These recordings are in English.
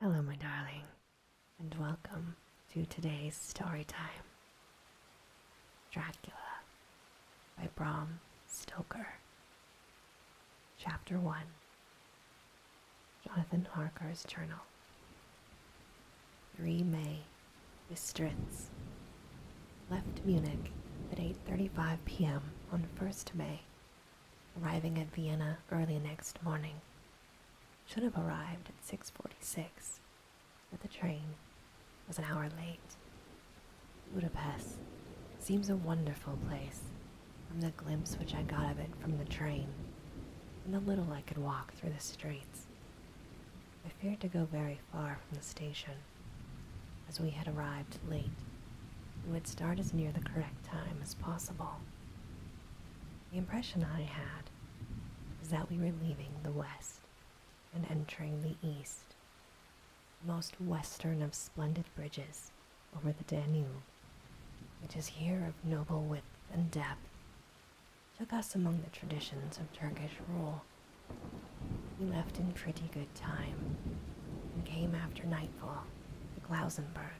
Hello, my darling, and welcome to today's story time Dracula by Bram Stoker. Chapter 1 Jonathan Harker's Journal. 3 May, Bistritz. Left Munich at 8.35 p.m. on 1st May arriving at Vienna early next morning, should have arrived at 6.46, but the train was an hour late. Budapest seems a wonderful place from the glimpse which I got of it from the train and the little I could walk through the streets. I feared to go very far from the station, as we had arrived late and would start as near the correct time as possible. The impression I had was that we were leaving the west and entering the east, the most western of splendid bridges over the Danube, which is here of noble width and depth, took us among the traditions of Turkish rule. We left in pretty good time and came after nightfall to Klausenburg.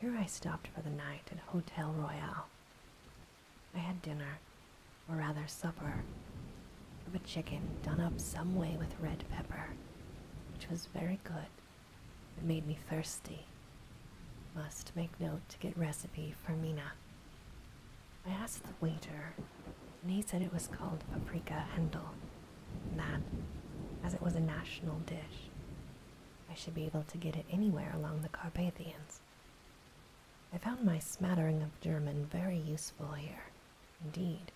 Here I stopped for the night at Hotel Royal. I had dinner, or rather supper, of a chicken done up some way with red pepper, which was very good. It made me thirsty. Must make note to get recipe for Mina. I asked the waiter, and he said it was called paprika hendel, that, as it was a national dish, I should be able to get it anywhere along the Carpathians. I found my smattering of German very useful here, indeed.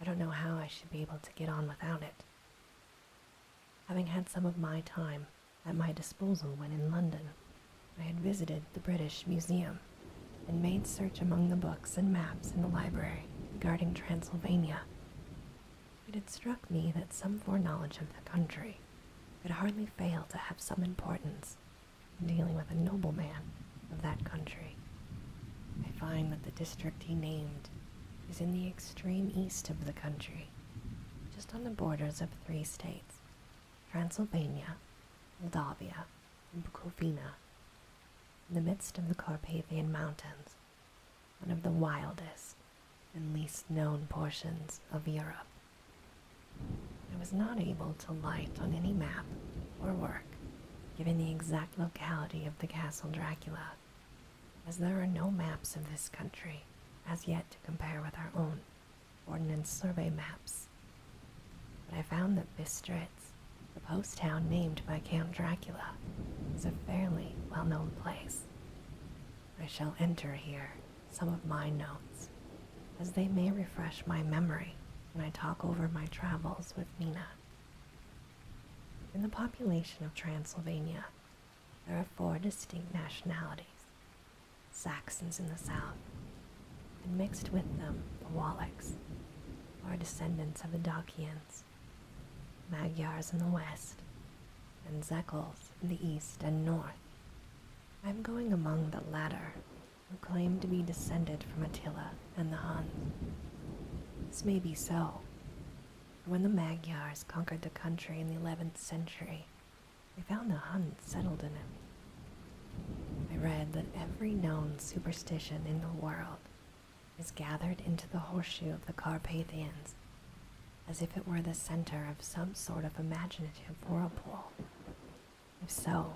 I don't know how I should be able to get on without it. Having had some of my time at my disposal when in London, I had visited the British Museum and made search among the books and maps in the library regarding Transylvania. It had struck me that some foreknowledge of the country could hardly fail to have some importance in dealing with a nobleman of that country. I find that the district he named is in the extreme east of the country, just on the borders of three states Transylvania, Moldavia, and Bukovina, in the midst of the Carpathian Mountains one of the wildest and least known portions of Europe. I was not able to light on any map or work, giving the exact locality of the Castle Dracula, as there are no maps of this country as yet to compare with our own Ordnance Survey maps. But I found that Bistritz, the post town named by Count Dracula, is a fairly well known place. I shall enter here some of my notes, as they may refresh my memory when I talk over my travels with Nina. In the population of Transylvania, there are four distinct nationalities Saxons in the south, and mixed with them the Wallachs, or descendants of the Dacians Magyars in the west, and Zekels in the east and north. I am going among the latter, who claim to be descended from Attila and the Huns. This may be so. For when the Magyars conquered the country in the 11th century, they found the Huns settled in it. I read that every known superstition in the world is gathered into the horseshoe of the Carpathians, as if it were the center of some sort of imaginative whirlpool. If so,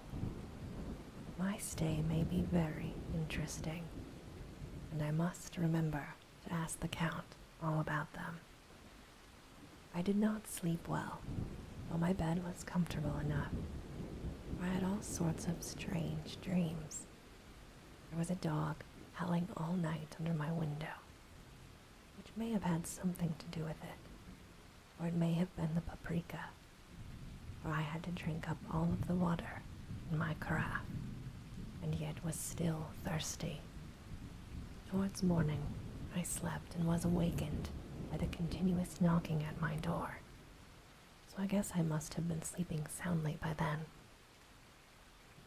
my stay may be very interesting, and I must remember to ask the Count all about them. I did not sleep well, though my bed was comfortable enough. I had all sorts of strange dreams. There was a dog howling all night under my window, which may have had something to do with it, or it may have been the paprika, for I had to drink up all of the water in my carafe, and yet was still thirsty. Towards morning, I slept and was awakened by the continuous knocking at my door, so I guess I must have been sleeping soundly by then.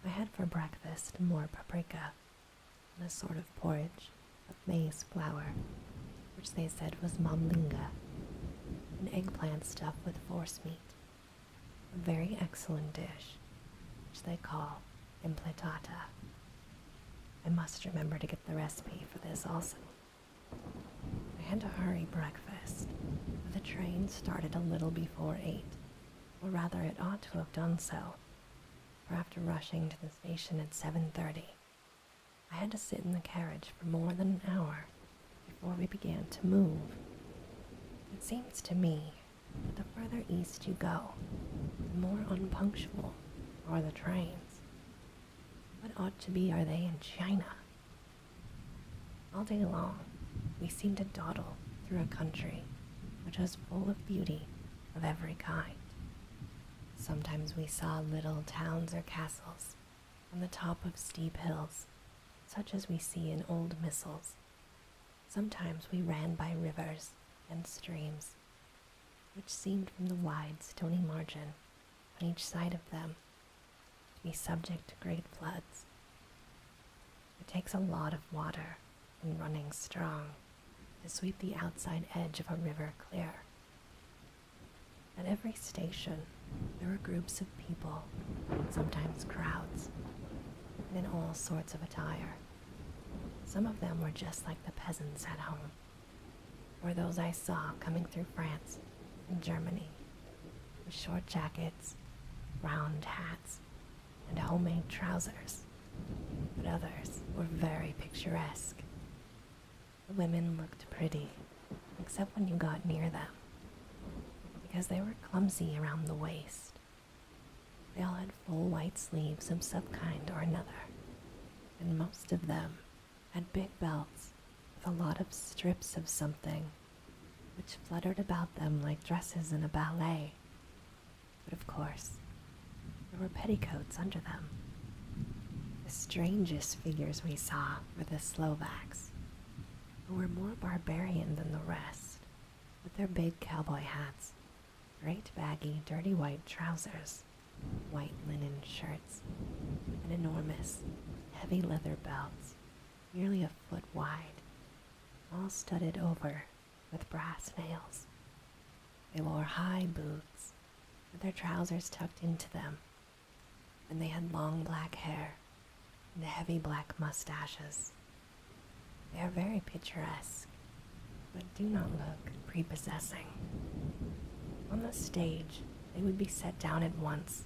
I had for breakfast more paprika and a sort of porridge of maize flour, which they said was mamlinga, an eggplant stuffed with forcemeat, a very excellent dish, which they call emplatata. I must remember to get the recipe for this also. I had to hurry breakfast, for the train started a little before eight, or rather it ought to have done so, for after rushing to the station at 7.30, I had to sit in the carriage for more than an hour before we began to move. It seems to me that the further east you go, the more unpunctual are the trains. What ought to be are they in China? All day long, we seemed to dawdle through a country which was full of beauty of every kind. Sometimes we saw little towns or castles on the top of steep hills, such as we see in old missals. Sometimes we ran by rivers and streams, which seemed from the wide stony margin on each side of them to be subject to great floods. It takes a lot of water and running strong to sweep the outside edge of a river clear. At every station, there were groups of people, sometimes crowds, and in all sorts of attire. Some of them were just like the peasants at home, or those I saw coming through France and Germany, with short jackets, round hats, and homemade trousers, but others were very picturesque. The women looked pretty, except when you got near them, because they were clumsy around the waist. They all had full white sleeves of some kind or another, and most of them had big belts with a lot of strips of something which fluttered about them like dresses in a ballet. But of course, there were petticoats under them. The strangest figures we saw were the Slovaks, who were more barbarian than the rest, with their big cowboy hats, great baggy, dirty white trousers, white linen shirts, and enormous, heavy leather belts, nearly a foot wide, all studded over with brass nails. They wore high boots with their trousers tucked into them, and they had long black hair and heavy black mustaches. They are very picturesque, but do not look prepossessing. On the stage, they would be set down at once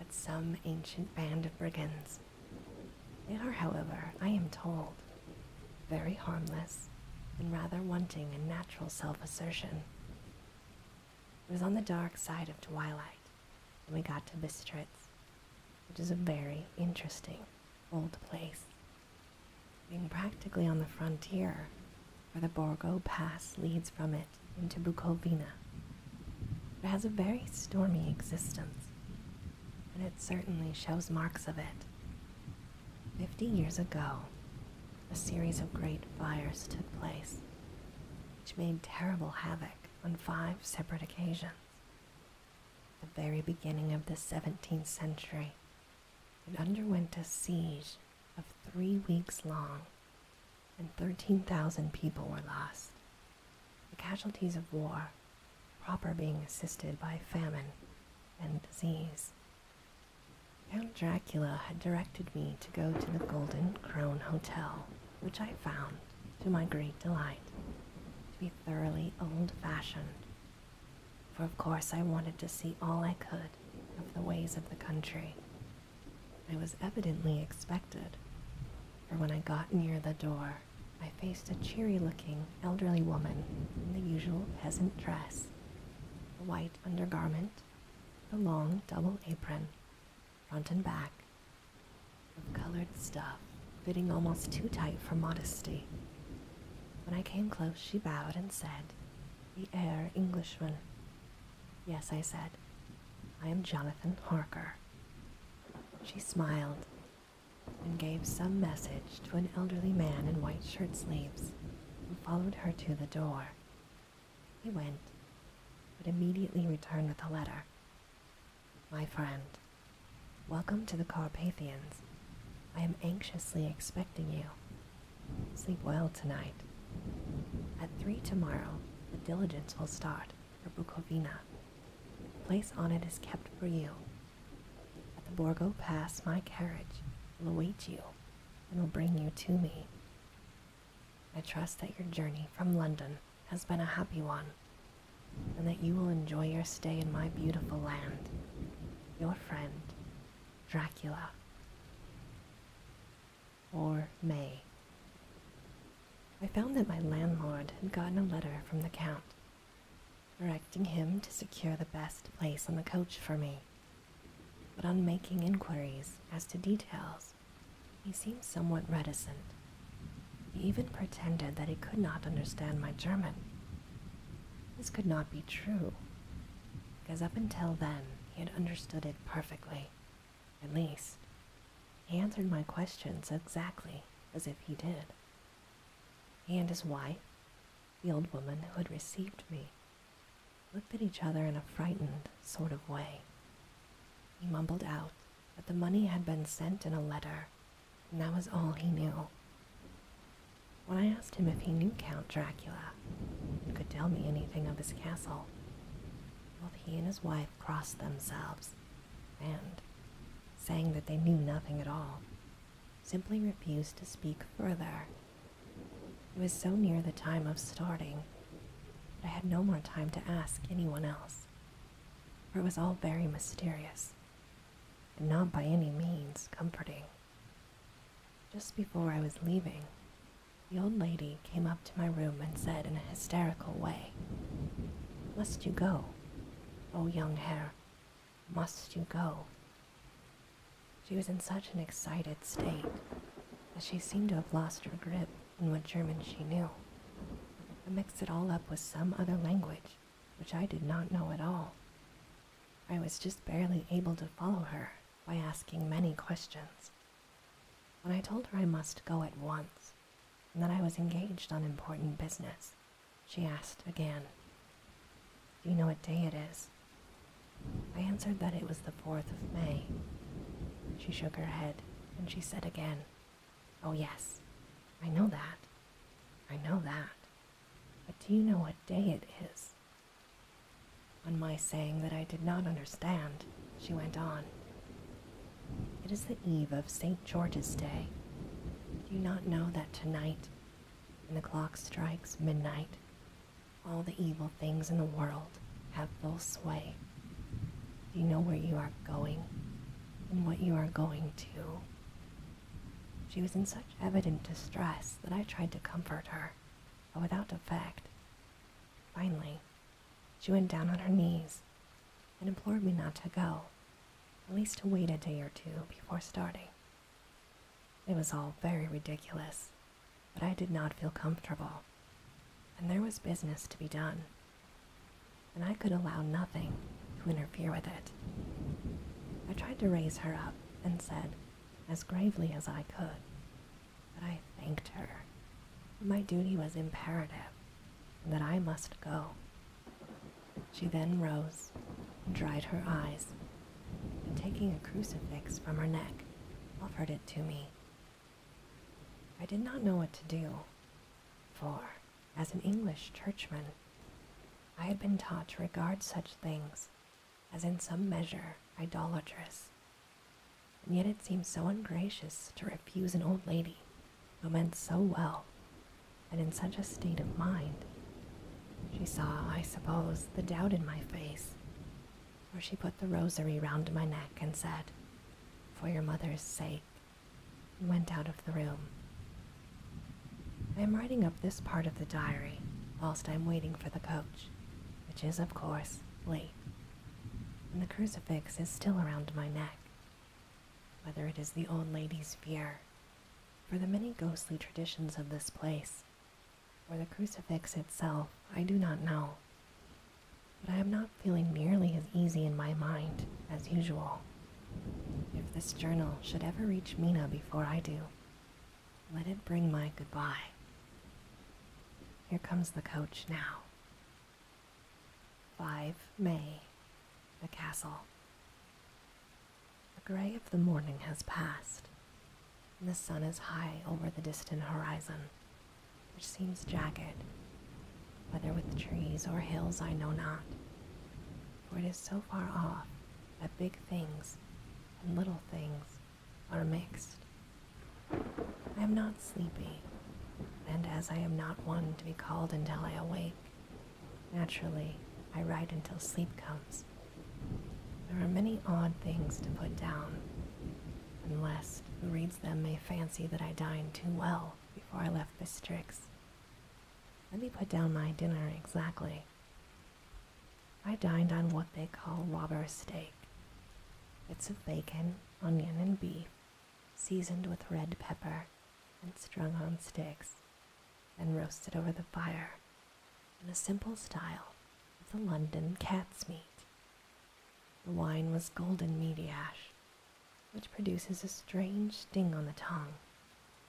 as some ancient band of brigands they are, however, I am told, very harmless and rather wanting in natural self assertion. It was on the dark side of twilight when we got to Bistritz, which is a very interesting old place. Being practically on the frontier, where the Borgo Pass leads from it into Bukovina, it has a very stormy existence and it certainly shows marks of it. Fifty years ago, a series of great fires took place, which made terrible havoc on five separate occasions. At the very beginning of the 17th century, it underwent a siege of three weeks long, and 13,000 people were lost the casualties of war, proper being assisted by famine and disease. Count Dracula had directed me to go to the Golden Crone Hotel, which I found, to my great delight, to be thoroughly old fashioned, for of course I wanted to see all I could of the ways of the country. I was evidently expected, for when I got near the door, I faced a cheery looking elderly woman in the usual peasant dress, the white undergarment, the long double apron, front and back, of colored stuff fitting almost too tight for modesty. When I came close, she bowed and said, The heir Englishman. Yes, I said, I am Jonathan Harker. She smiled and gave some message to an elderly man in white shirt sleeves who followed her to the door. He went, but immediately returned with a letter. My friend, welcome to the Carpathians. I am anxiously expecting you. Sleep well tonight. At three tomorrow, the diligence will start or Bukovina. The place on it is kept for you. At the Borgo Pass, my carriage will await you and will bring you to me. I trust that your journey from London has been a happy one, and that you will enjoy your stay in my beautiful land. Your friend, Dracula. Or May. I found that my landlord had gotten a letter from the Count directing him to secure the best place on the coach for me. But on making inquiries as to details, he seemed somewhat reticent. He even pretended that he could not understand my German. This could not be true, because up until then he had understood it perfectly. At least, he answered my questions exactly as if he did. He and his wife, the old woman who had received me, looked at each other in a frightened sort of way. He mumbled out that the money had been sent in a letter, and that was all he knew. When I asked him if he knew Count Dracula and could tell me anything of his castle, both he and his wife crossed themselves and, saying that they knew nothing at all, simply refused to speak further. It was so near the time of starting that I had no more time to ask anyone else, for it was all very mysterious, and not by any means comforting. Just before I was leaving, the old lady came up to my room and said in a hysterical way, Must you go? O oh, young hare, must you go? She was in such an excited state that she seemed to have lost her grip on what German she knew. I mixed it all up with some other language, which I did not know at all. I was just barely able to follow her by asking many questions. When I told her I must go at once, and that I was engaged on important business, she asked again. Do you know what day it is? I answered that it was the 4th of May. She shook her head and she said again, Oh, yes, I know that. I know that. But do you know what day it is? On my saying that I did not understand, she went on, It is the eve of St. George's Day. Do you not know that tonight, when the clock strikes midnight, all the evil things in the world have full sway? Do you know where you are going and what you are going to? She was in such evident distress that I tried to comfort her, but without effect. Finally, she went down on her knees and implored me not to go, at least to wait a day or two before starting. It was all very ridiculous, but I did not feel comfortable, and there was business to be done, and I could allow nothing to interfere with it. I tried to raise her up and said, as gravely as I could, that I thanked her. My duty was imperative, that I must go she then rose and dried her eyes, and taking a crucifix from her neck, offered it to me. I did not know what to do, for, as an English churchman, I had been taught to regard such things as in some measure idolatrous, and yet it seemed so ungracious to refuse an old lady who meant so well and in such a state of mind. She saw, I suppose, the doubt in my face, for she put the rosary round my neck and said, For your mother's sake, and went out of the room. I am writing up this part of the diary whilst I am waiting for the coach, which is, of course, late, and the crucifix is still around my neck. Whether it is the old lady's fear for the many ghostly traditions of this place, or the crucifix itself, I do not know. But I am not feeling nearly as easy in my mind as usual. If this journal should ever reach Mina before I do, let it bring my goodbye. Here comes the coach now. 5 May the castle. The gray of the morning has passed, and the sun is high over the distant horizon, which seems jagged, whether with trees or hills I know not, for it is so far off that big things and little things are mixed. I am not sleepy, and as I am not one to be called until I awake, Naturally, I write until sleep comes. There are many odd things to put down, unless who reads them may fancy that I dined too well before I left Bistrix. Let me put down my dinner exactly. I dined on what they call robber steak. Bits of bacon, onion, and beef, seasoned with red pepper, and strung on sticks and roasted over the fire in a simple style of the London cat's meat. The wine was golden meaty ash, which produces a strange sting on the tongue,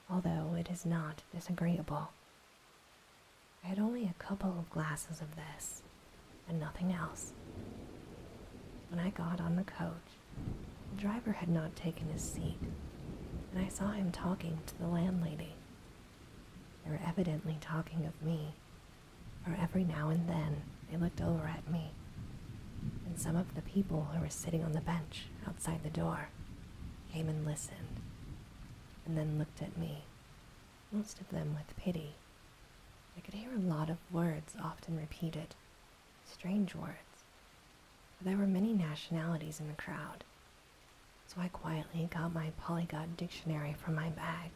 although it is not disagreeable. I had only a couple of glasses of this and nothing else. When I got on the coach, the driver had not taken his seat, and I saw him talking to the landlady. They were evidently talking of me, for every now and then they looked over at me and some of the people who were sitting on the bench outside the door came and listened, and then looked at me, most of them with pity. I could hear a lot of words often repeated Strange words. there were many nationalities in the crowd, so I quietly got my polyglot dictionary from my bag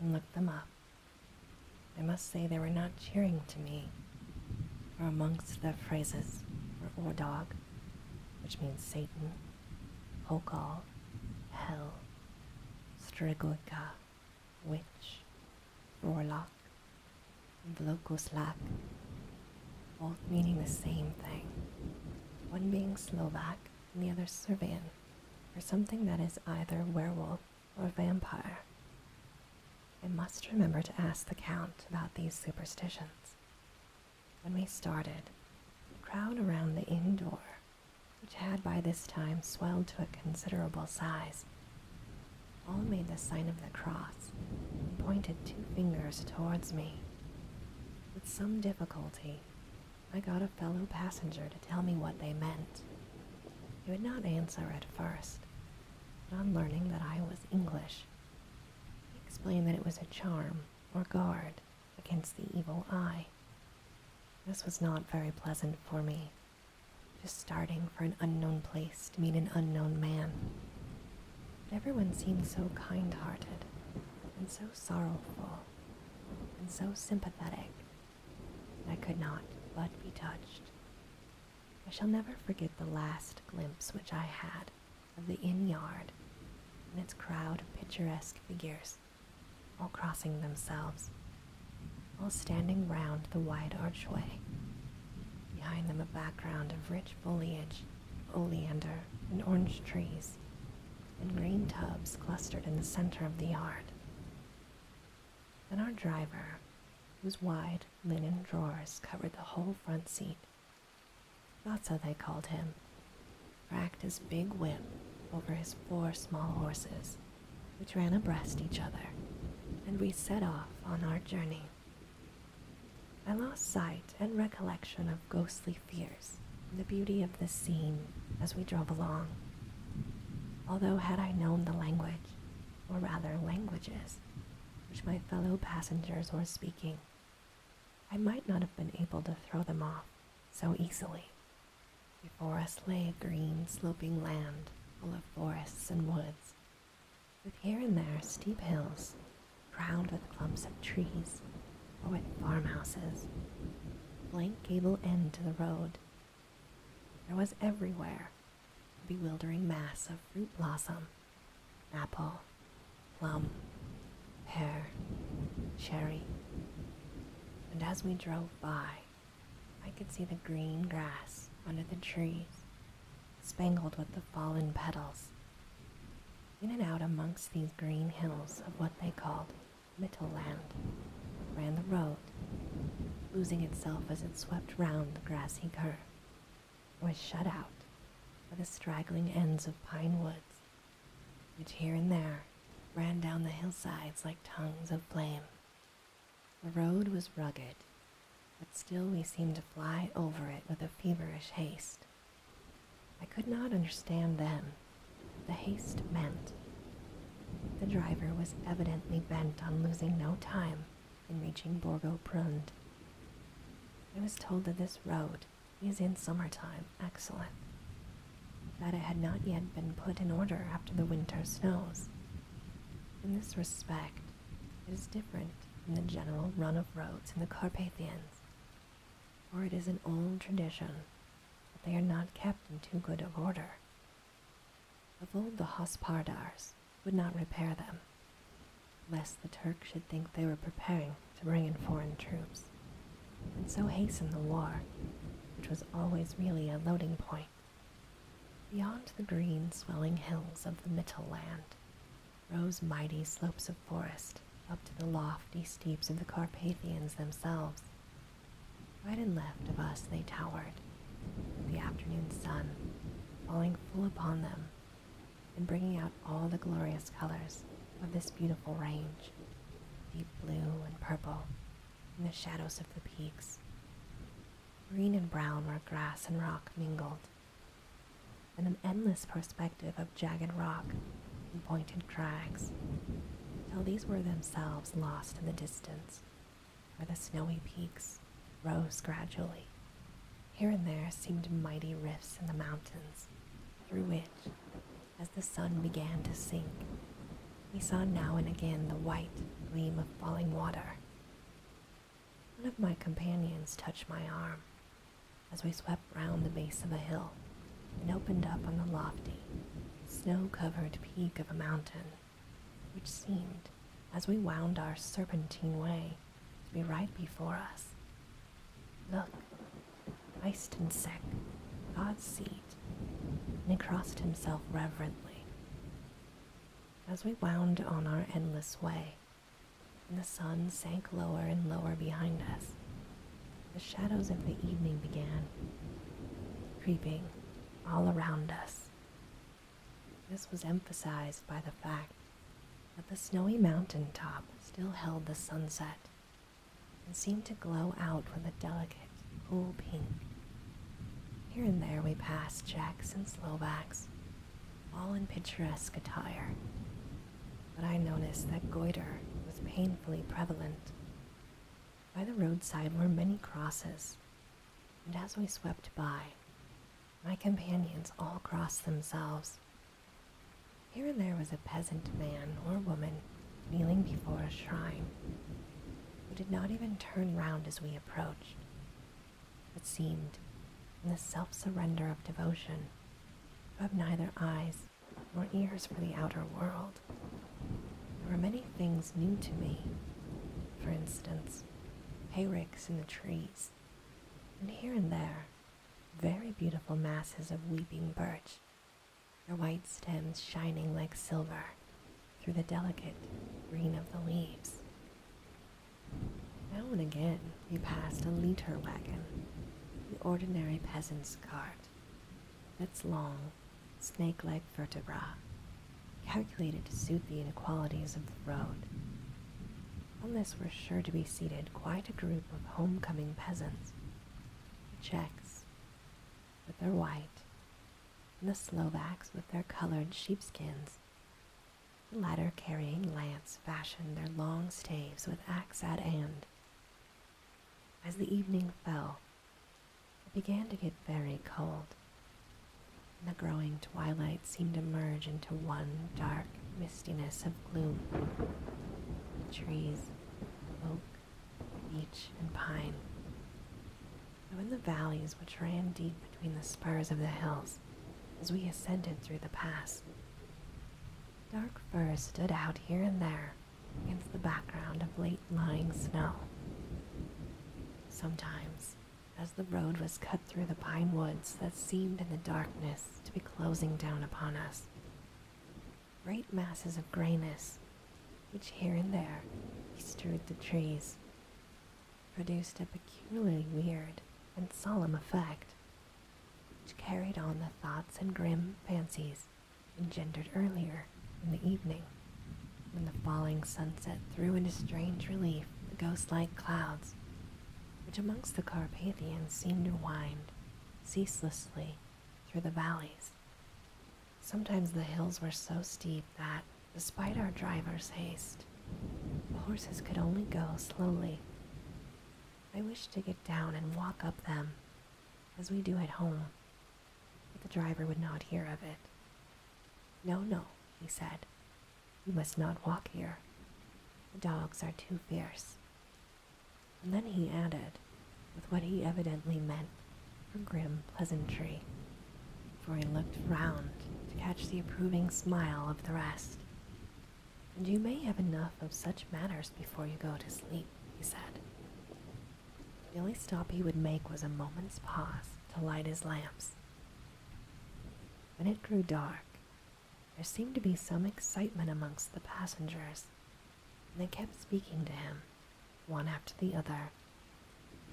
and looked them up. I must say they were not cheering to me, for amongst the phrases were Ordog, which means Satan, Hokal, Hell, Striglica, Witch, Warlock, and local both meaning the same thing, one being Slovak and the other Serbian, or something that is either werewolf or vampire. I must remember to ask the Count about these superstitions. When we started, the crowd around the inn door, which had by this time swelled to a considerable size, all made the sign of the cross and pointed two fingers towards me. With some difficulty, I got a fellow passenger to tell me what they meant. He would not answer at first, but on learning that I was English, he explained that it was a charm or guard against the evil eye. This was not very pleasant for me, just starting for an unknown place to meet an unknown man everyone seemed so kind hearted, and so sorrowful, and so sympathetic, that I could not but be touched. I shall never forget the last glimpse which I had of the inn yard and its crowd of picturesque figures, all crossing themselves, all standing round the wide archway, behind them a background of rich foliage oleander, and orange trees, and green tubs clustered in the center of the yard. Then our driver, whose wide linen drawers covered the whole front seat, not so they called him, racked his big whip over his four small horses, which ran abreast each other, and we set off on our journey. I lost sight and recollection of ghostly fears the beauty of the scene as we drove along. Although, had I known the language, or rather languages, which my fellow passengers were speaking, I might not have been able to throw them off so easily. Before us lay a green, sloping land full of forests and woods, with here and there steep hills crowned with clumps of trees or with farmhouses, blank gable end to the road. There was everywhere a bewildering mass of fruit blossom, apple, plum, pear, cherry. And as we drove by, I could see the green grass under the trees spangled with the fallen petals, in and out amongst these green hills of what they called Mittelland, ran the road, losing itself as it swept round the grassy curve. or was shut out by the straggling ends of pine woods, which here and there ran down the hillsides like tongues of flame. The road was rugged but still we seemed to fly over it with a feverish haste. I could not understand then what the haste meant. The driver was evidently bent on losing no time in reaching Borgo Prund. I was told that this road is in summer time excellent, that it had not yet been put in order after the winter snows. In this respect, it is different from the general run of roads in the Carpathians, for it is an old tradition that they are not kept in too good of order. Of old, the Hospardars would not repair them, lest the Turks should think they were preparing to bring in foreign troops, and so hasten the war, which was always really a loading point. Beyond the green swelling hills of the Mittel land rose mighty slopes of forest up to the lofty steeps of the Carpathians themselves. Right and left of us they towered, the afternoon sun falling full upon them and bringing out all the glorious colors of this beautiful range deep blue and purple in the shadows of the peaks. Green and brown where grass and rock mingled, and an endless perspective of jagged rock and pointed crags, till these were themselves lost in the distance, where the snowy peaks rose gradually. Here and there seemed mighty rifts in the mountains, through which, as the sun began to sink, we saw now and again the white gleam of falling water. One of my companions touched my arm as we swept round the base of a hill and opened up on the lofty, snow covered peak of a mountain, which seemed, as we wound our serpentine way, to be right before us. Look, iced and sick, God's seat, and he crossed himself reverently. As we wound on our endless way, the sun sank lower and lower behind us. The shadows of the evening began, creeping all around us. This was emphasized by the fact that the snowy mountain top still held the sunset and seemed to glow out with a delicate, cool pink. Here and there we passed Czechs and Slovaks all in picturesque attire. But I noticed that goiter was painfully prevalent. By the roadside were many crosses, and as we swept by, my companions all crossed themselves. Here and there was a peasant man or woman kneeling before a shrine, who did not even turn round as we approached, but seemed, in the self surrender of devotion, who have neither eyes nor ears for the outer world. There were many things new to me. For instance, hayricks in the trees, and here and there, very beautiful masses of weeping birch, their white stems shining like silver through the delicate green of the leaves. Now and again we passed a leader wagon, the ordinary peasant's cart, its long, snake like vertebrae, calculated to suit the inequalities of the road. On this were sure to be seated quite a group of homecoming peasants, the Czechs with their white, and the Slovaks with their colored sheepskins, the latter carrying lance fashioned their long staves with axe at end. As the evening fell, it began to get very cold, and the growing twilight seemed to merge into one dark mistiness of gloom. The trees, oak, beech, and pine, and in the valleys which ran deep between the spurs of the hills as we ascended through the pass, Dark furs stood out here and there against the background of late lying snow. Sometimes, as the road was cut through the pine woods that seemed in the darkness to be closing down upon us, great masses of grayness, which here and there strewed the trees, produced a peculiarly weird and solemn effect which carried on the thoughts and grim fancies engendered earlier in the evening, when the falling sunset threw into strange relief the ghost-like clouds, which amongst the Carpathians seemed to wind ceaselessly through the valleys. Sometimes the hills were so steep that, despite our driver's haste, the horses could only go slowly. I wished to get down and walk up them, as we do at home, but the driver would not hear of it. No, no, he said, you must not walk here. The dogs are too fierce. then he added, with what he evidently meant for grim pleasantry, for he looked round to catch the approving smile of the rest. You may have enough of such matters before you go to sleep, he said. The only stop he would make was a moment's pause to light his lamps. When it grew dark, there seemed to be some excitement amongst the passengers, and they kept speaking to him, one after the other,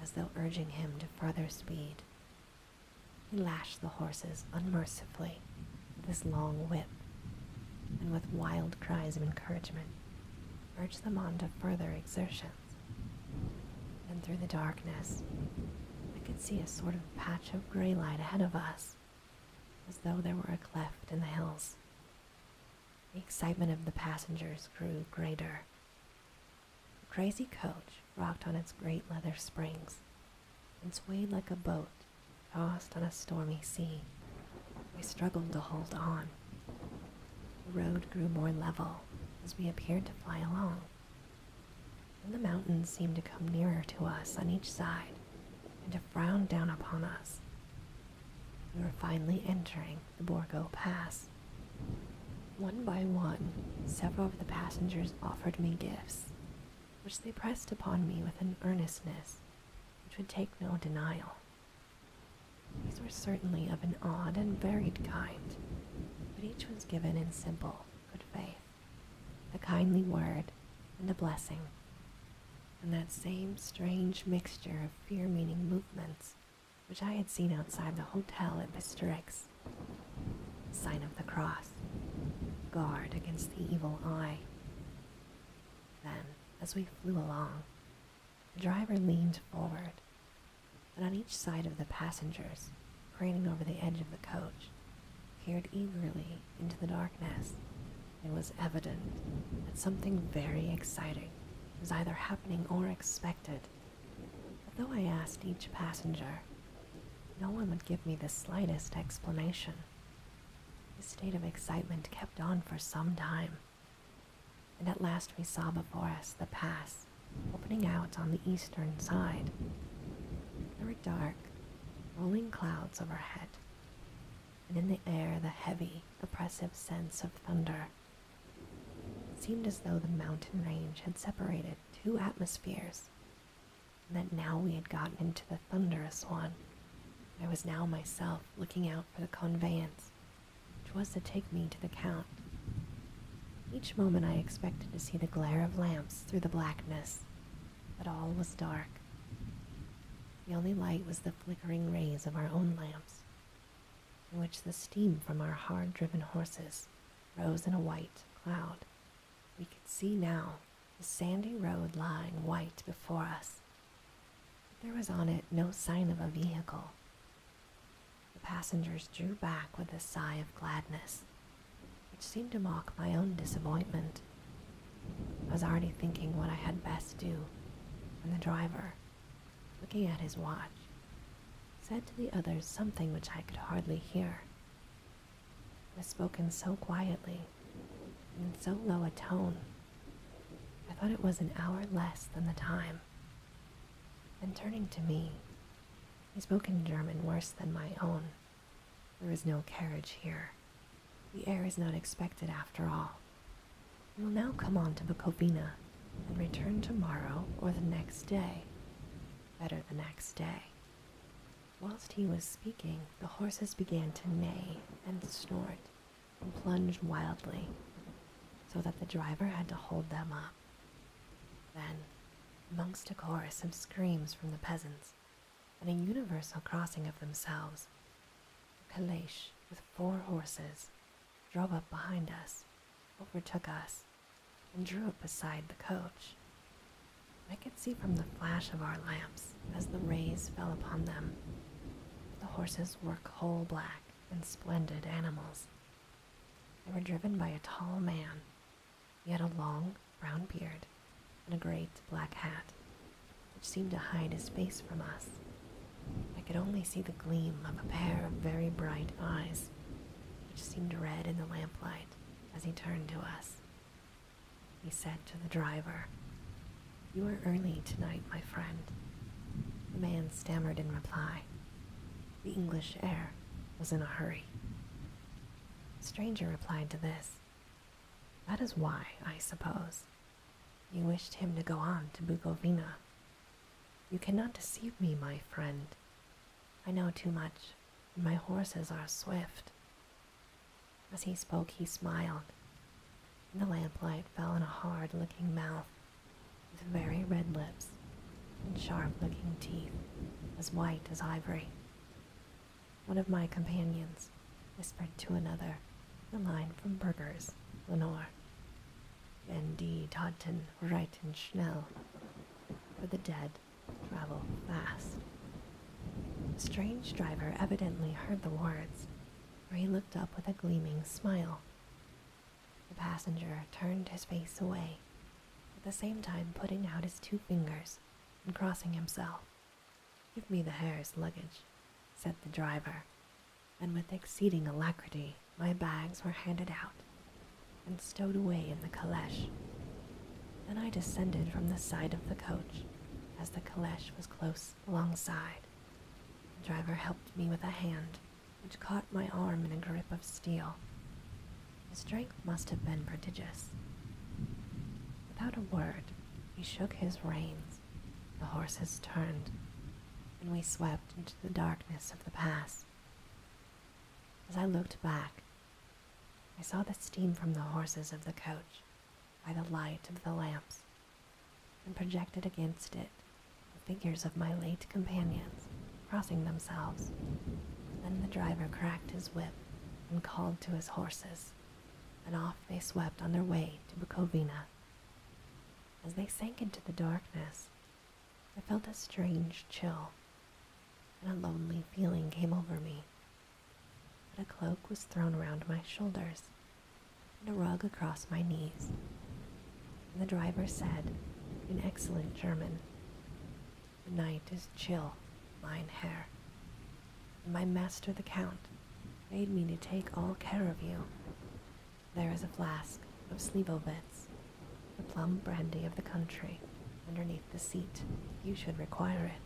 as though urging him to further speed. He lashed the horses unmercifully with his long whip, and with wild cries of encouragement, urged them on to further exertions. Then through the darkness, I could see a sort of patch of gray light ahead of us, as though there were a cleft in the hills. The excitement of the passengers grew greater. The crazy coach rocked on its great leather springs and swayed like a boat tossed on a stormy sea. We struggled to hold on. The road grew more level as we appeared to fly along. And the mountains seemed to come nearer to us on each side and to frown down upon us. We were finally entering the Borgo Pass. One by one, several of the passengers offered me gifts, which they pressed upon me with an earnestness which would take no denial. These were certainly of an odd and varied kind, but each was given in simple good faith, a kindly word and a blessing, and that same strange mixture of fear meaning movements which I had seen outside the hotel at Bisterix, sign of the cross guard against the evil eye. Then, as we flew along, the driver leaned forward, and on each side of the passengers, craning over the edge of the coach, peered eagerly into the darkness. It was evident that something very exciting was either happening or expected. But though I asked each passenger, no one would give me the slightest explanation. The state of excitement kept on for some time, and at last we saw before us the pass opening out on the eastern side. There were dark, rolling clouds overhead, and in the air the heavy, oppressive sense of thunder. It seemed as though the mountain range had separated two atmospheres that now we had gotten into the thunderous one. I was now myself looking out for the conveyance, which was to take me to the Count. Each moment I expected to see the glare of lamps through the blackness, but all was dark. The only light was the flickering rays of our own lamps, in which the steam from our hard driven horses rose in a white cloud. We could see now the sandy road lying white before us. there was on it no sign of a vehicle. The passengers drew back with a sigh of gladness, which seemed to mock my own disappointment. I was already thinking what I had best do when the driver, looking at his watch, said to the others something which I could hardly hear was spoken so quietly, in so low a tone, I thought it was an hour less than the time. Then turning to me, he spoke in German worse than my own. There is no carriage here. The heir is not expected after all. We will now come on to Bukovina and return tomorrow or the next day. Better the next day. Whilst he was speaking, the horses began to neigh and snort and plunge wildly, so that the driver had to hold them up. Then, amongst a chorus of screams from the peasants and a universal crossing of themselves, a calèche with four horses drove up behind us, overtook us, and drew up beside the coach. I could see from the flash of our lamps as the rays fell upon them. The horses were coal black and splendid animals. They were driven by a tall man. He had a long brown beard and a great black hat, which seemed to hide his face from us. I could only see the gleam of a pair of very bright eyes, which seemed red in the lamplight as he turned to us he said to the driver. You are early tonight, my friend. The man stammered in reply. The English air was in a hurry. The stranger replied to this. That is why, I suppose, you wished him to go on to Bukovina. You cannot deceive me, my friend. I know too much, my horses are swift. As he spoke, he smiled, and the lamplight fell on a hard looking mouth with very red lips and sharp looking teeth as white as ivory. One of my companions whispered to another a line from Burger's Lenore. Wenn die reiten schnell, for the dead travel fast. The strange driver evidently heard the words, for he looked up with a gleaming smile. The passenger turned his face away, at the same time putting out his two fingers and crossing himself. Give me the hare's luggage, said the driver, and with exceeding alacrity my bags were handed out and stowed away in the caleche. Then I descended from the side of the coach as the caleche was close alongside. The driver helped me with a hand, which caught my arm in a grip of steel. His strength must have been prodigious. Without a word, he shook his reins. The horses turned, and we swept into the darkness of the pass. As I looked back, I saw the steam from the horses of the coach by the light of the lamps, and projected against it the figures of my late companions crossing themselves. Then the driver cracked his whip and called to his horses, and off they swept on their way to Bukovina. As they sank into the darkness, I felt a strange chill, and a lonely feeling came over me a cloak was thrown round my shoulders and a rug across my knees. the driver said, in excellent German, The night is chill, mine Herr, and my master the Count made me to take all care of you. There is a flask of Slivovitz, the plum brandy of the country, underneath the seat. You should require it.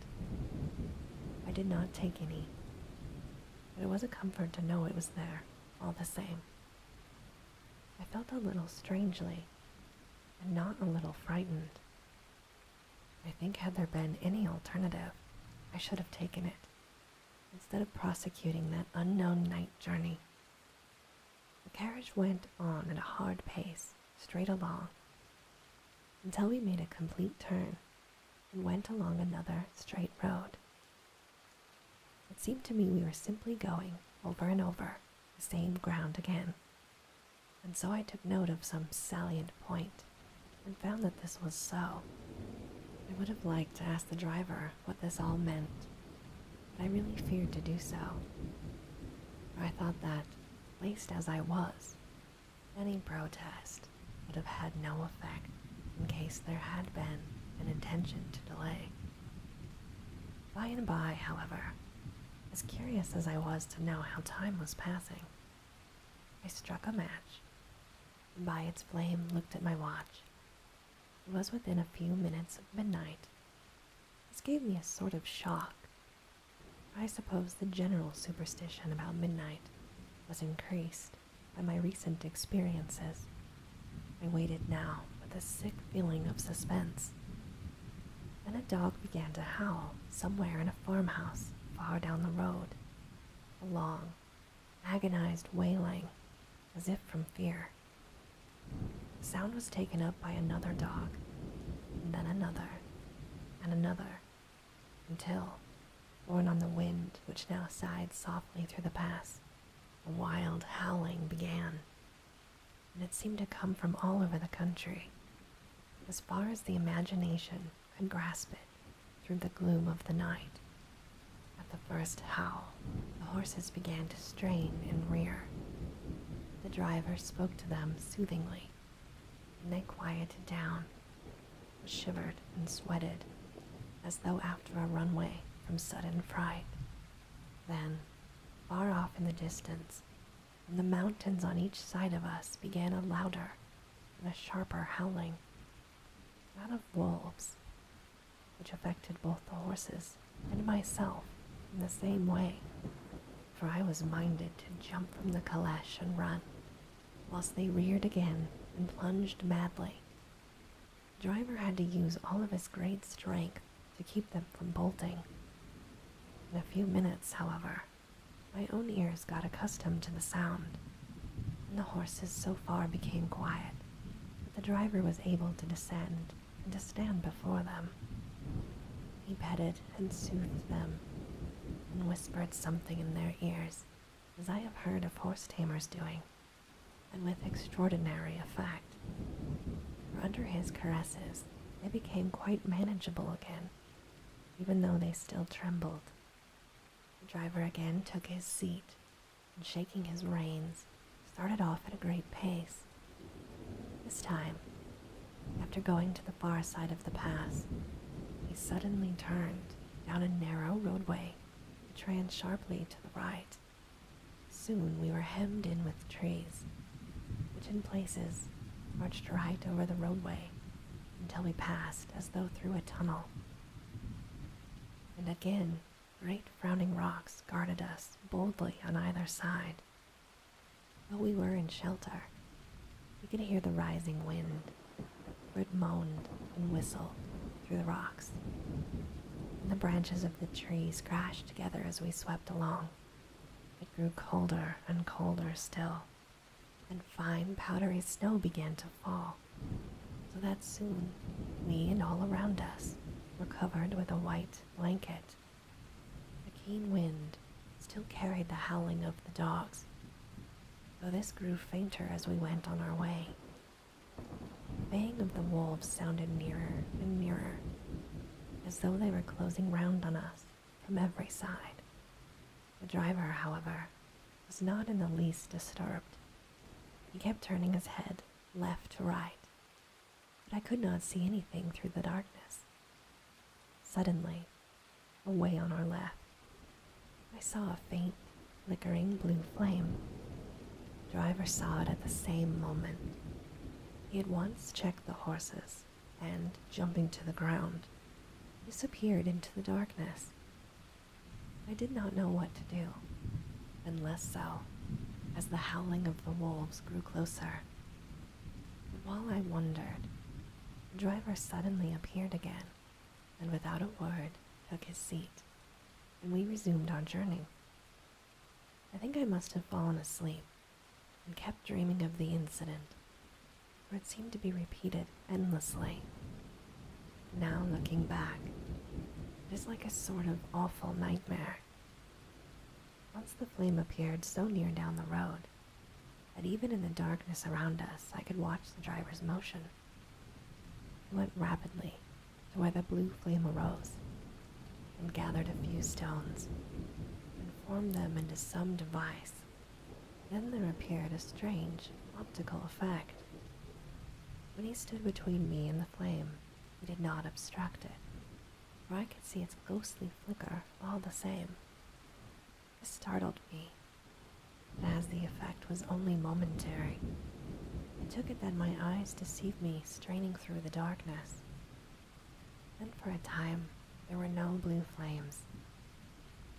I did not take any, it was a comfort to know it was there, all the same. I felt a little strangely, and not a little frightened. I think, had there been any alternative, I should have taken it, instead of prosecuting that unknown night journey. The carriage went on at a hard pace, straight along, until we made a complete turn and went along another straight road. It seemed to me we were simply going over and over the same ground again, and so I took note of some salient point and found that this was so. I would have liked to ask the driver what this all meant, but I really feared to do so. For I thought that, least as I was, any protest would have had no effect in case there had been an intention to delay. By and by, however, as curious as I was to know how time was passing, I struck a match, and by its flame looked at my watch. It was within a few minutes of midnight. This gave me a sort of shock. I suppose the general superstition about midnight was increased by my recent experiences. I waited now with a sick feeling of suspense. Then a dog began to howl somewhere in a farmhouse far down the road, a long, agonized wailing as if from fear. The sound was taken up by another dog, then another, and another until, borne on the wind which now sighed softly through the pass, a wild howling began, and it seemed to come from all over the country, as far as the imagination could grasp it through the gloom of the night. At the first howl, the horses began to strain and rear. The driver spoke to them soothingly, and they quieted down, shivered and sweated as though after a runaway from sudden fright. Then, far off in the distance, from the mountains on each side of us began a louder and a sharper howling, that of wolves, which affected both the horses and myself in the same way, for I was minded to jump from the calash and run, whilst they reared again and plunged madly. Driver had to use all of his great strength to keep them from bolting. In a few minutes, however, my own ears got accustomed to the sound, and the horses so far became quiet that the driver was able to descend and to stand before them. He petted and soothed them and whispered something in their ears as I have heard of horse tamers doing, and with extraordinary effect. For under his caresses, they became quite manageable again, even though they still trembled. The driver again took his seat, and shaking his reins, started off at a great pace. This time, after going to the far side of the pass, he suddenly turned down a narrow roadway that ran sharply to the right. Soon we were hemmed in with trees, which in places arched right over the roadway until we passed as though through a tunnel. And again, great frowning rocks guarded us boldly on either side. Though we were in shelter, we could hear the rising wind for it moaned and whistled through the rocks. And the branches of the trees crashed together as we swept along. It grew colder and colder still, and fine powdery snow began to fall, so that soon we and all around us were covered with a white blanket. The keen wind still carried the howling of the dogs, though this grew fainter as we went on our way. The baying of the wolves sounded nearer and nearer, as though they were closing round on us from every side. The driver, however, was not in the least disturbed. He kept turning his head left to right, but I could not see anything through the darkness. Suddenly, Away on our left, I saw a faint, flickering blue flame. Driver saw it at the same moment. He at once checked the horses and, jumping to the ground, disappeared into the darkness. I did not know what to do, unless so as the howling of the wolves grew closer. while I wondered, the driver suddenly appeared again and without a word took his seat, and we resumed our journey. I think I must have fallen asleep and kept dreaming of the incident, for it seemed to be repeated endlessly. Now looking back, it is like a sort of awful nightmare. Once the flame appeared so near down the road that even in the darkness around us I could watch the driver's motion. He went rapidly to where the blue flame arose and gathered a few stones and formed them into some device. Then there appeared a strange optical effect. When he stood between me and the flame, he did not obstruct it, for I could see its ghostly flicker all the same startled me, but as the effect was only momentary, I took it that my eyes deceived me, straining through the darkness. Then for a time, there were no blue flames,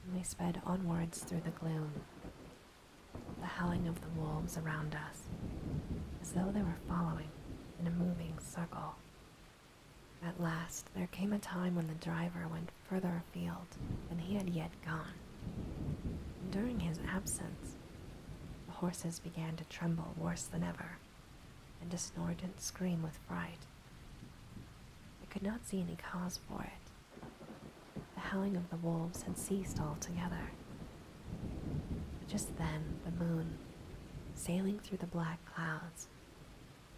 and we sped onwards through the gloom, the howling of the wolves around us, as though they were following in a moving circle. At last, there came a time when the driver went further afield than he had yet gone. during his absence, the horses began to tremble worse than ever, and to snort and scream with fright. I could not see any cause for it. The howling of the wolves had ceased altogether. just then, the moon, sailing through the black clouds,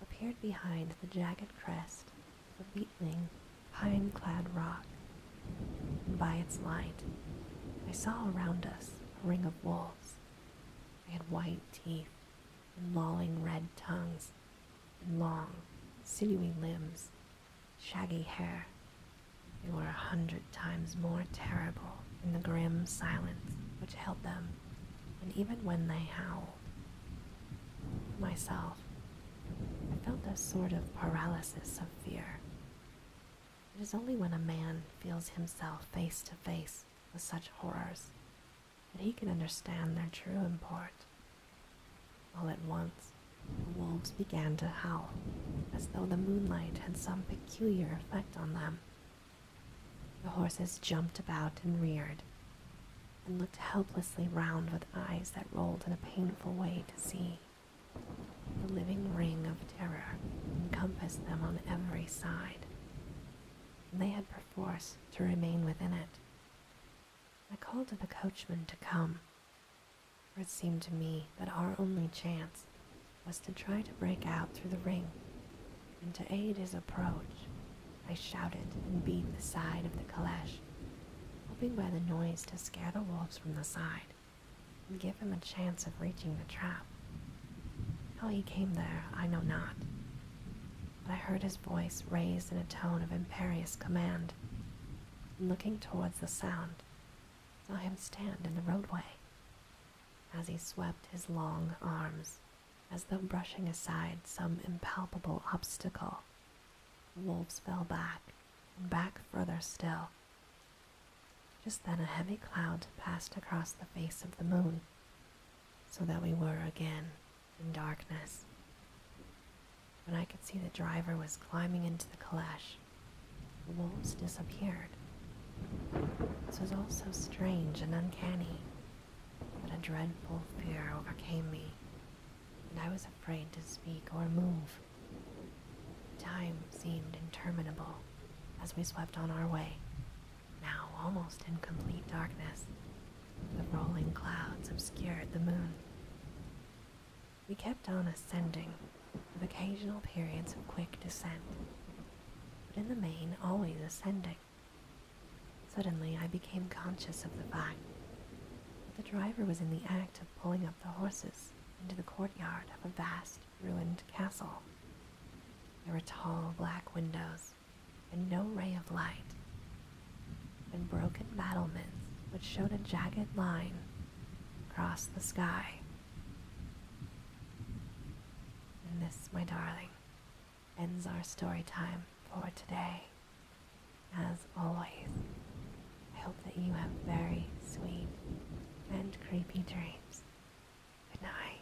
appeared behind the jagged crest a beetling, pine-clad rock, by its light I saw around us a ring of wolves. They had white teeth and lolling red tongues, and long, sinewy limbs, shaggy hair. They were a hundred times more terrible in the grim silence which held them, and even when they howled. Myself, I felt a sort of paralysis of fear. It is only when a man feels himself face to face with such horrors that he can understand their true import. All at once, the wolves began to howl, as though the moonlight had some peculiar effect on them. The horses jumped about and reared, and looked helplessly round with eyes that rolled in a painful way to see. The living ring of terror encompassed them on every side, and they had perforce to remain within it. I called to the coachman to come, for it seemed to me that our only chance was to try to break out through the ring, and to aid his approach, I shouted and beat the side of the calash hoping by the noise to scare the wolves from the side and give him a chance of reaching the trap. How he came there, I know not, but I heard his voice raised in a tone of imperious command, and looking towards the sound, saw him stand in the roadway as he swept his long arms as though brushing aside some impalpable obstacle. The wolves fell back back further still. Just then a heavy cloud passed across the face of the moon, so that we were again in darkness. When I could see the driver was climbing into the calash. The wolves disappeared. This was all so strange and uncanny that a dreadful fear overcame me and I was afraid to speak or move. Time seemed interminable as we swept on our way, now almost in complete darkness. The rolling clouds obscured the moon. We kept on ascending, with occasional periods of quick descent, but in the main always ascending. Suddenly I became conscious of the fact that the driver was in the act to pulling up the horses into the courtyard of a vast, ruined castle. There were tall black windows and no ray of light, and broken battlements which showed a jagged line across the sky. And this, my darling, ends our story time for today. As always, I hope that you have very sweet and creepy dreams. Good night.